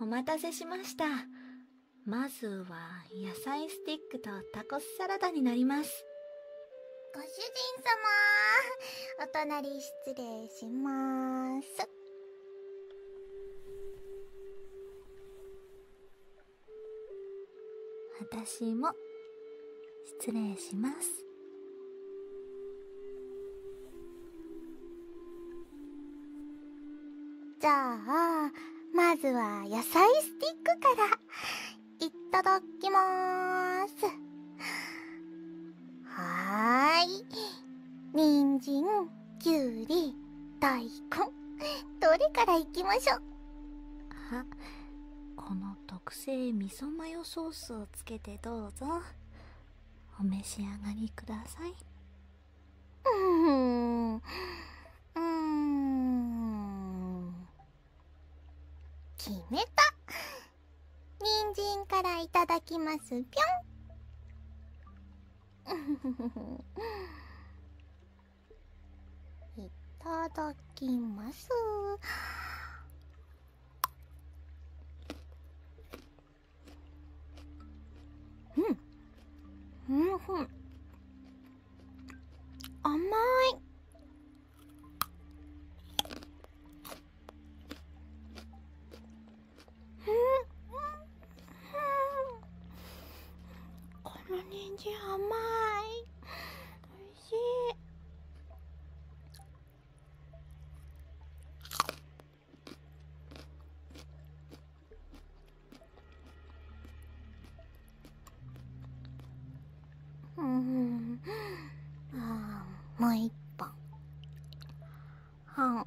お待たせしましたまずは野菜スティックとタコスサラダになりますご主人様お隣失礼します私も失礼しますじゃあまずは野菜スティックからいただきますはーい人参ンきゅうり大根どれからいきましょうあこの特製味噌マヨソースをつけてどうぞお召し上がりくださいうーんうーん決めた人参からいただきますぴょんいただきますうんうんふん甘いこの人参甘い。美味しい。うん、あもう一本。はん、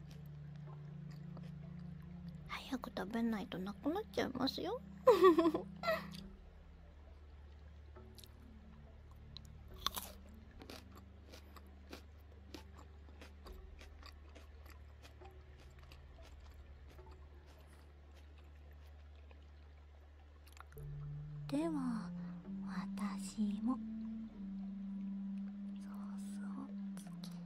早く食べないとなくなっちゃいますよ では私もソースをつけうん、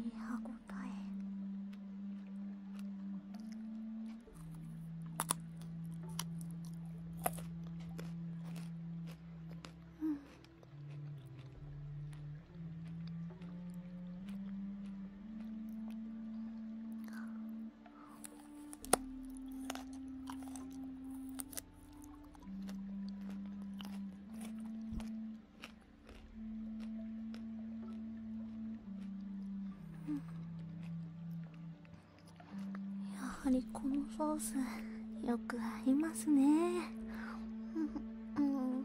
いい歯えうんやはりこのソースよく合いますねうんうん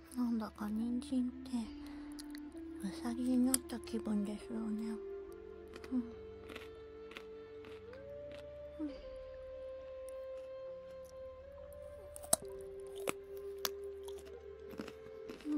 なんだか人参ってうさぎになった気分ですよねうんうんうん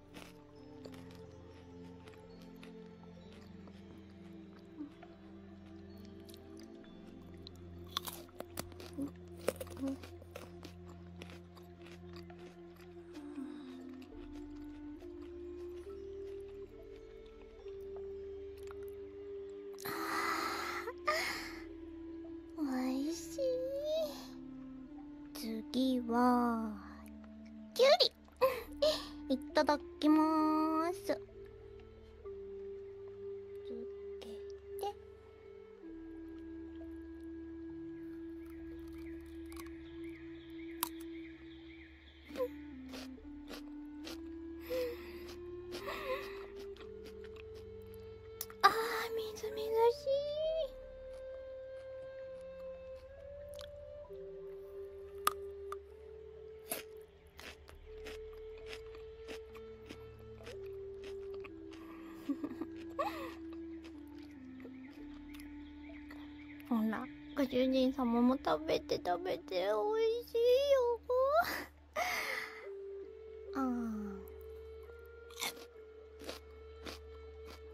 次はきゅうり いただきます。つけて。ああ、みずみずしい。フフフほら、ご主人様も食べて食べておいしいよ。ああ。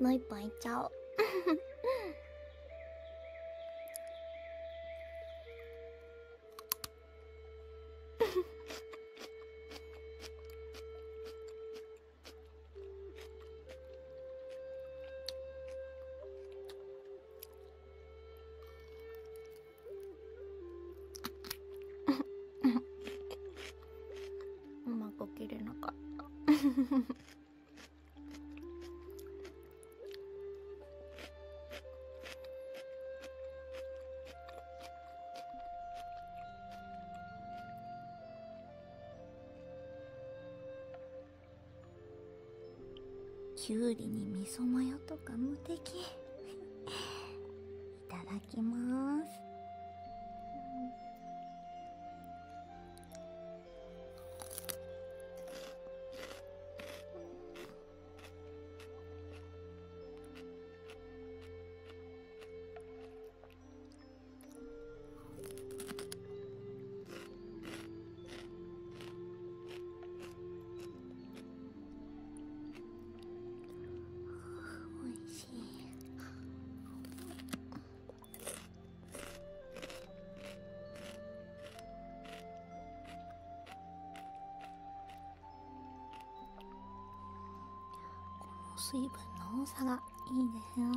もう一本いっちゃおう うまく切れなかった きゅうりにみそマヨとか無敵 いただきますうん おいしい。この水分の多さがいいですよね。うん。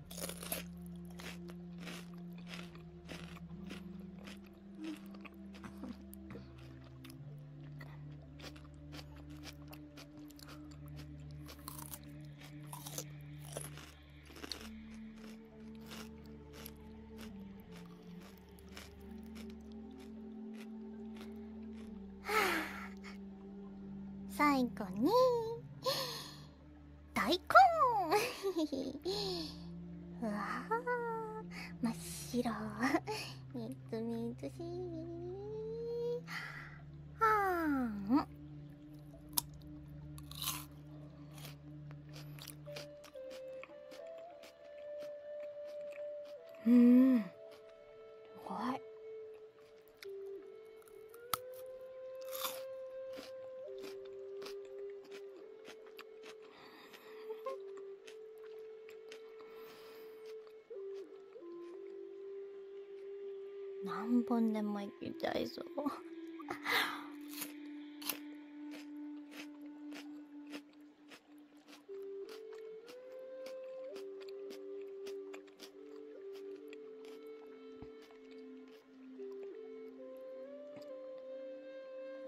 最後に うわ真っ白みずみずしんうんい何本でもいきたいぞ。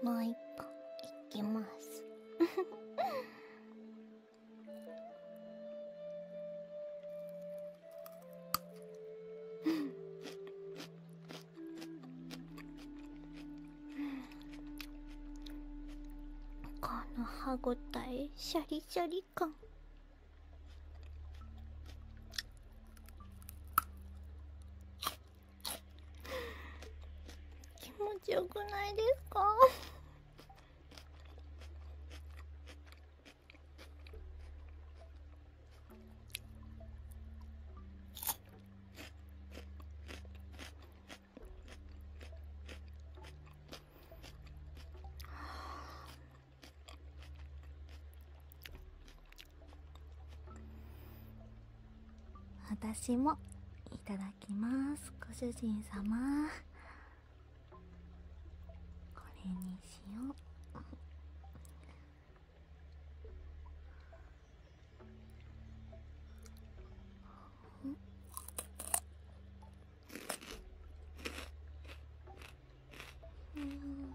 もう一本いきます この歯ごたえシャリシャリ感気持ちよくないですかはあ。私もいただきますご主人様これにしよううん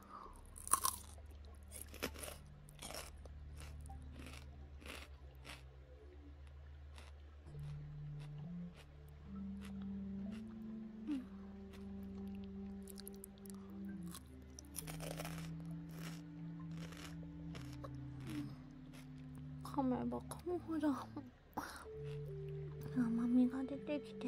噛めば噛むほど甘みが出てきて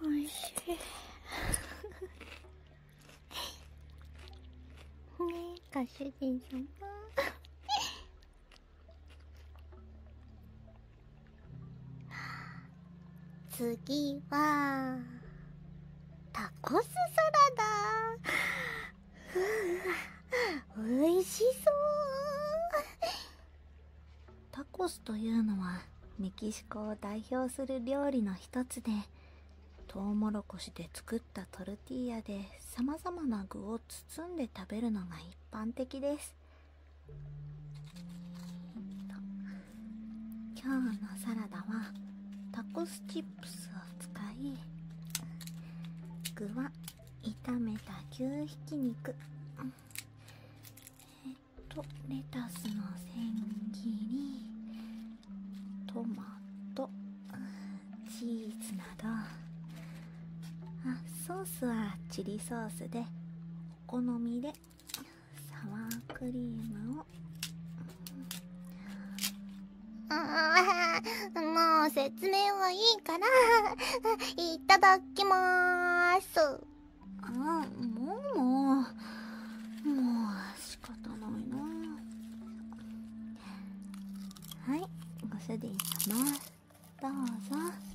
おいしいねえご主人様次はタコスサラダうわ美味しそうタコスというのはメキシコを代表する料理の一つでトウモロコシで作ったトルティーヤでさまざまな具を包んで食べるのが一般的ですえっと今日のサラダはタコスチップスを使い具は炒めた牛ひき肉えっとレタスの千切りトマトチーズなどあソースはチリソースでお好みでサワークリームをああもう説明はいいからいただきまーすあもうもうもう仕方ないなはいおでいきます。どうぞ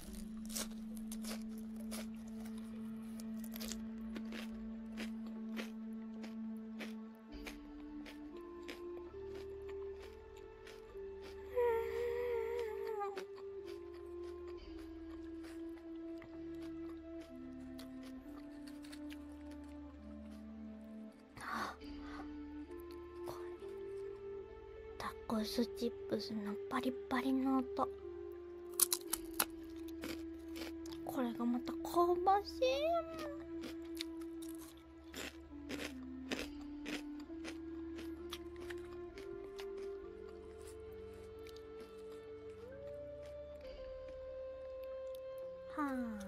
タコスチップスのパリパリの音これがまた香ばしいはあ。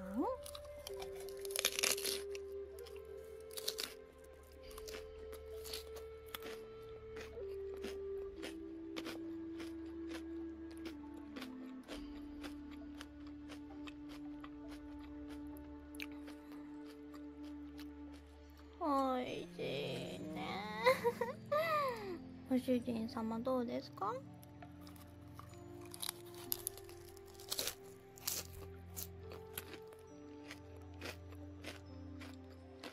おいしいね ご主人様どうですか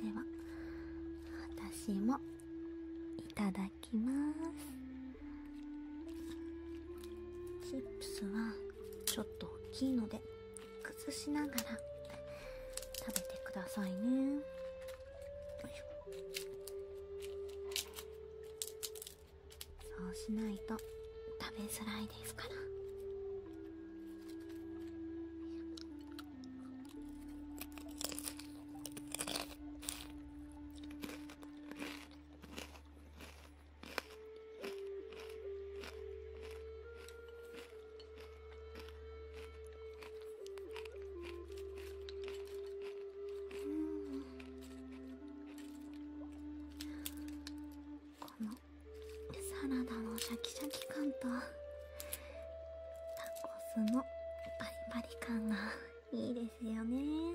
では私もいただきますチップスはちょっと大きいので崩しながら食べてくださいねよいしょそうしないと食べづらいですからこのサラダのシャキシャキ感とタコスのパリパリ感がいいですよね。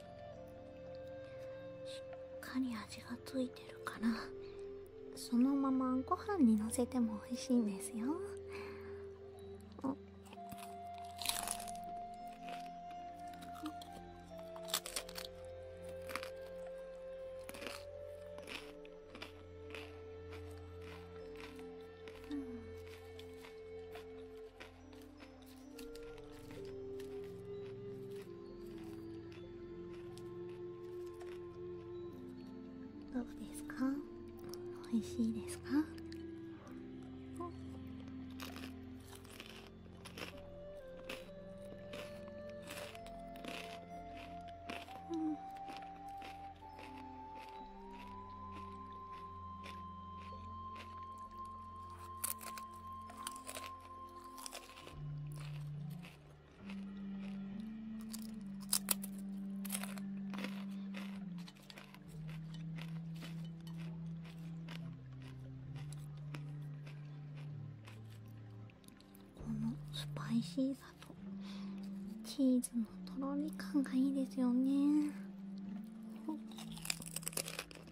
しっかり味がついてるからそのままご飯にのせても美味しいんですようんどうですか美味しいですかこのスパイシーさとチーズのとろり感がいいですよね。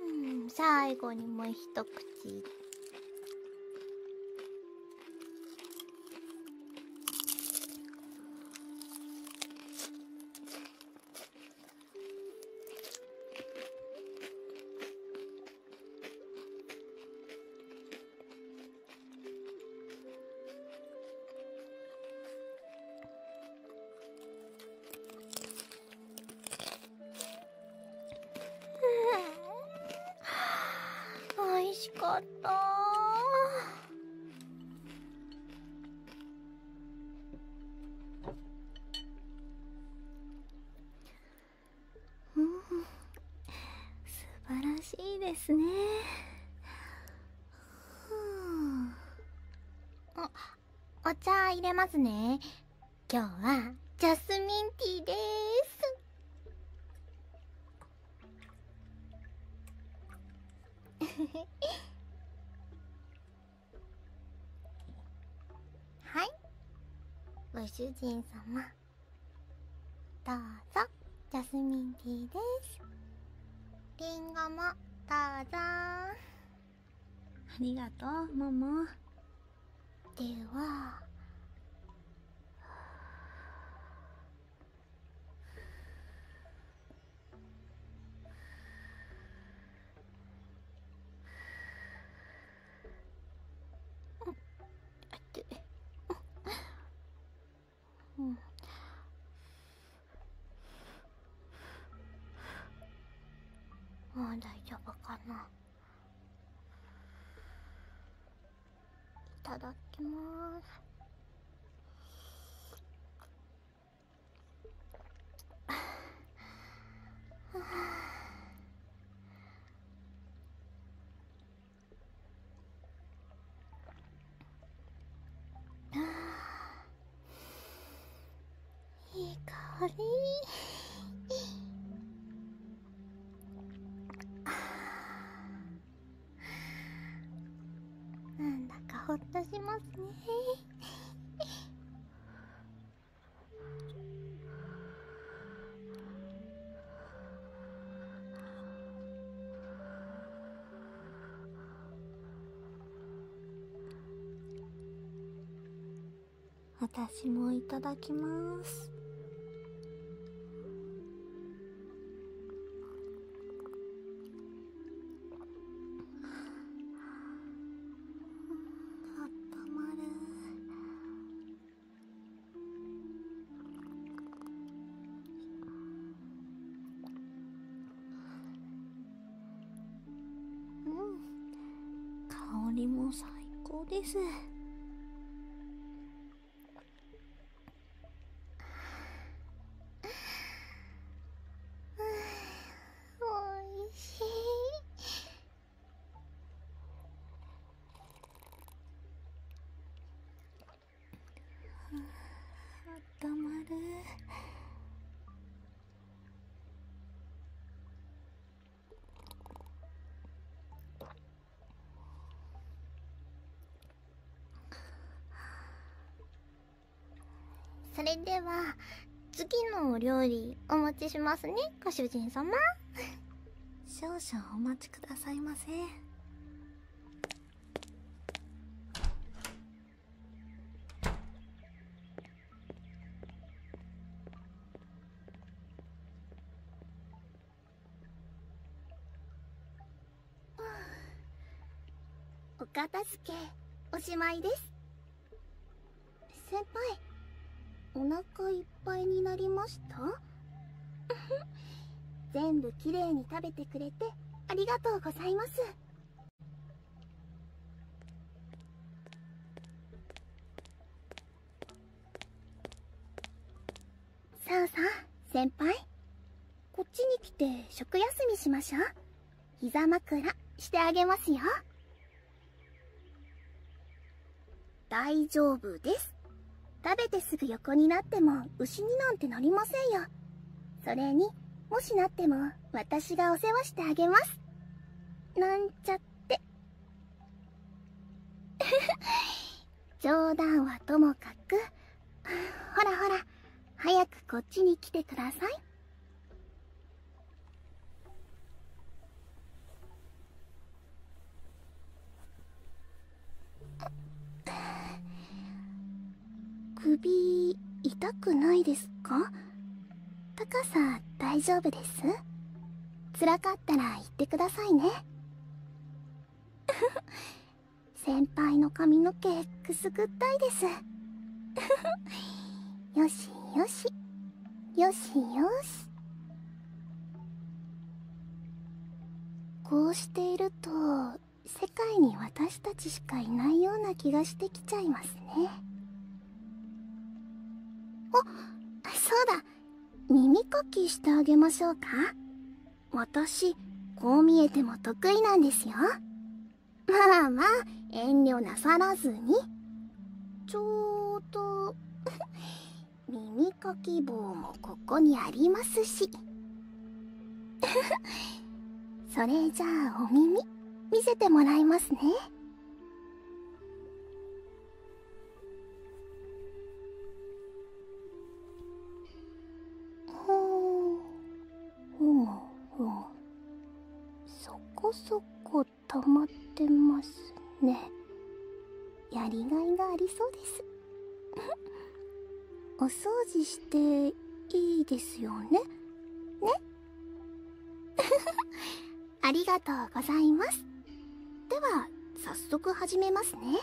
うん最後にもう一口うん。おいしかったうん素晴らしいですねあお茶入れますね今日はジャスミンティーです はいご主人様どうぞジャスミンティーですりんごもどうぞありがとうももではもう大丈夫かな。いただきます。ははあいい香りなんだかほっとしますね私もいただきます温まるうん香りも最高ですおいしいあまるそれでは次のお料理お持ちしますねご主人様少々お待ちくださいませお片付けおしまいです先輩お腹いっぱいになりました 全部きれいに食べてくれてありがとうございますさあさあ先輩こっちに来て食休みしましょう膝枕してあげますよ大丈夫です食べてすぐ横になっても牛になんてなりませんよそれにもしなっても私がお世話してあげますなんちゃって 冗談はともかくほらほら早くこっちに来てください首痛くないですか高さ大丈夫です辛かったら言ってくださいね 先輩の髪の毛くすぐったいです よしよしよしよしこうしていると世界に私たちしかいないような気がしてきちゃいますねあそうだ耳かきしてあげましょうか私こう見えても得意なんですよまあまあ遠慮なさらずにちょうど 耳かき棒もここにありますし それじゃあお耳見せてもらいますねほうほうほうそこそこ溜まってますねやりがいがありそうです お掃除していいですよねね ありがとうございますでは早速始めますね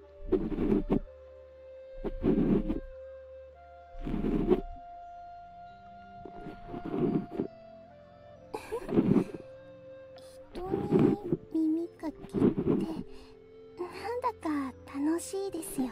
に耳かきってなんだか楽しいですよね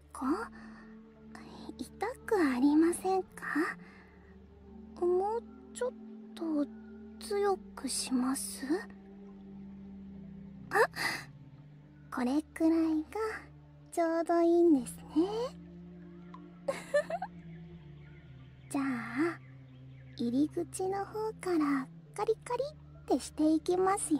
こ痛くありませんかもうちょっと強くしますあこれくらいがちょうどいいんですね じゃあ入り口の方からカリカリってしていきますよ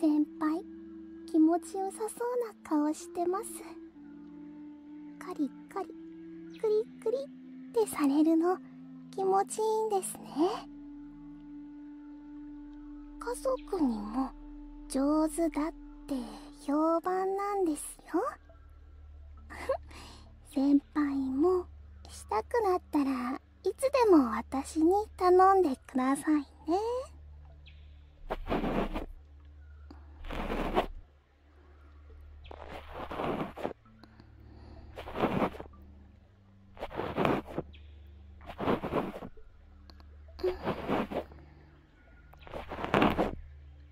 先輩気持ちよさそうな顔してますカリカリクリクリってされるの気持ちいいんですね家族にも上手だって評判なんですよ 先輩もしたくなったらいつでも私に頼んでくださいね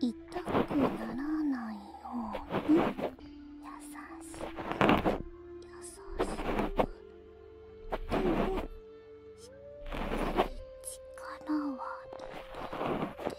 痛くならないように優しく優しくか力は抜いて。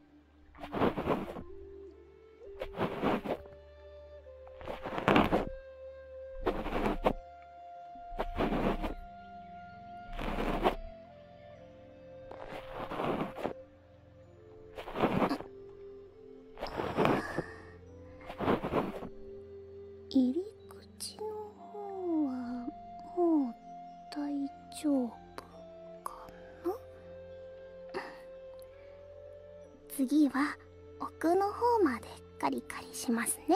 入り口のうはもう大丈夫ここも次は奥の方までカリカリしますね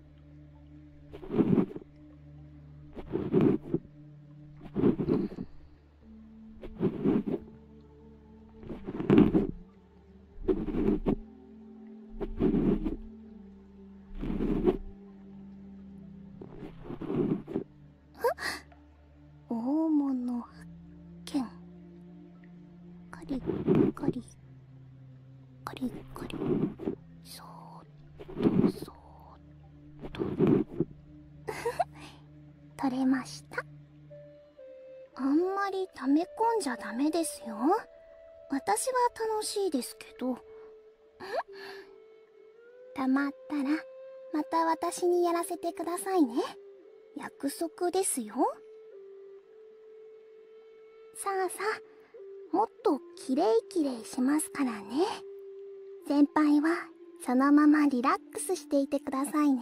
大物剣。カリカリカリカリそーっそーっと取れましたあんまり溜め込んじゃダメですよ私は楽しいですけどたまったらまた私にやらせてくださいね約束ですよさあさあもっと。とキレイキレイしますからね先輩はそのままリラックスしていてくださいね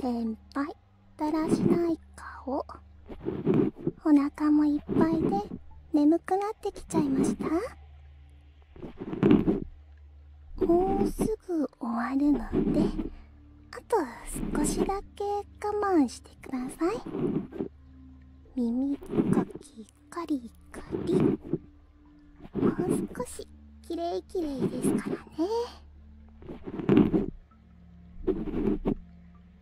先輩だらしない顔お腹もいっぱいで眠くなってきちゃいましたもうすぐ終わるのであと少しだけ我慢してください耳かきカリカリもう少しきれいきれいですからね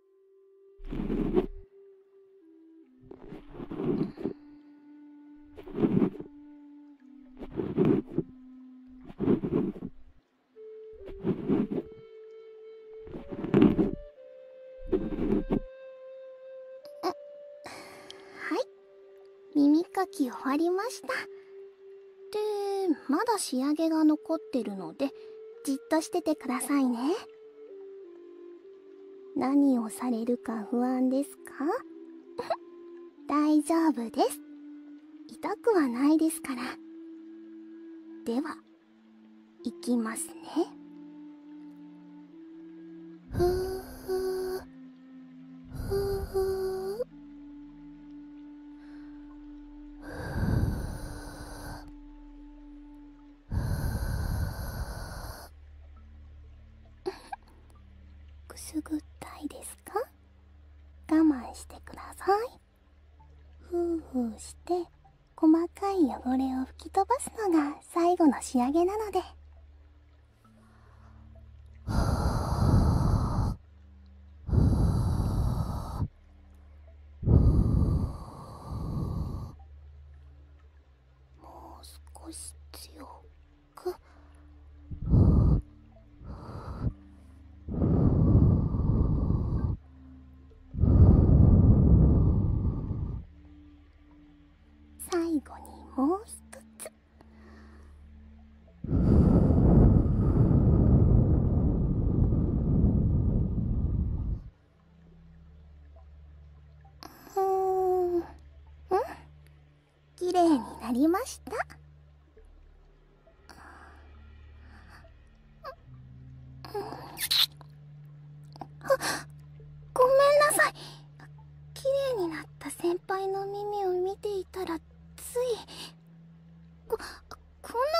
はい、耳かき終わりました。で、まだ仕上げが残ってるので、じっとしててくださいね。何をされるか不安ですか 大丈夫です痛くはないですからではいきますねふうふうふうくすぐったいですか我慢してくださいふうふうして細かい汚れを吹き飛ばすのが最後の仕上げなので もう少し強く。最後にもう一つ。うんうん綺麗になりましたごめんなさい綺麗になった先輩の耳を見ていたらついここんな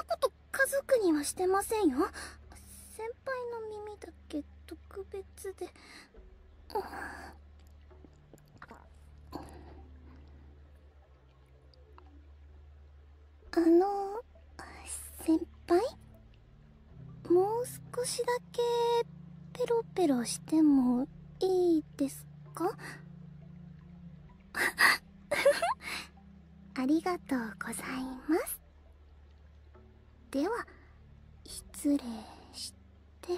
こと家族にはしてませんよ先輩の耳だけ特別で。あの先輩もう少しだけペロペロしてもいいですか ありがとうございますでは失礼して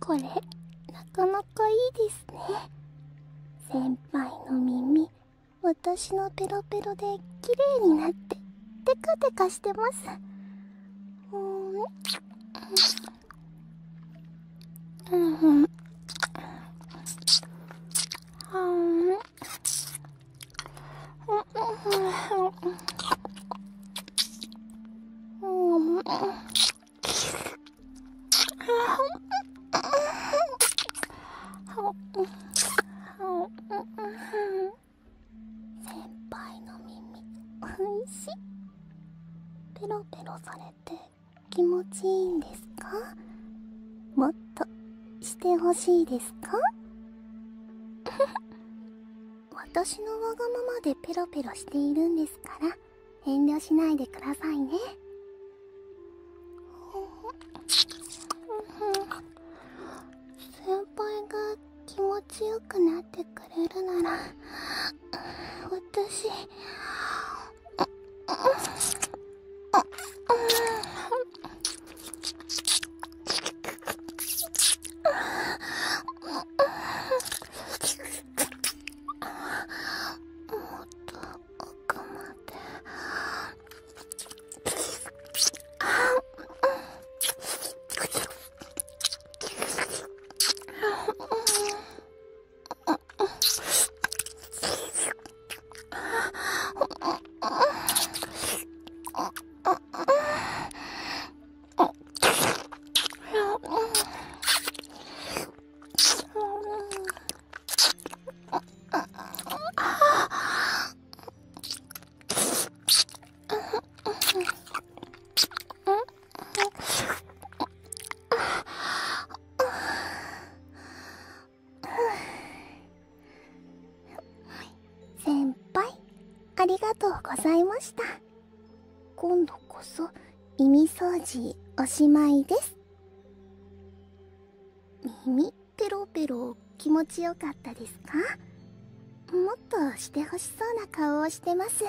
これなかなかいいですね先輩の耳私のペロペロで綺麗になってテカテカしてますうんうんうんうんうん先輩の耳おいしいペロペロされて気持ちいいんですかもっとしてほしいですか私のわがままでペロペロしているんですから遠慮しないでくださいね先輩が気持ちよくなってくれるなら私もっと奥まであ先輩ありがとうございました今度こそ耳掃除おしまいです耳ペロペロ気持ちよかったですかもっとしてほしそうな顔をしてます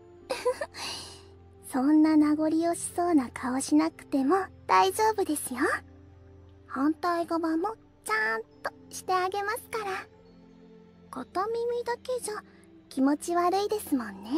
そんな名残惜しそうな顔しなくても大丈夫ですよ反対側もちゃんとしてあげますから片耳だけじゃ気持ち悪いですもんね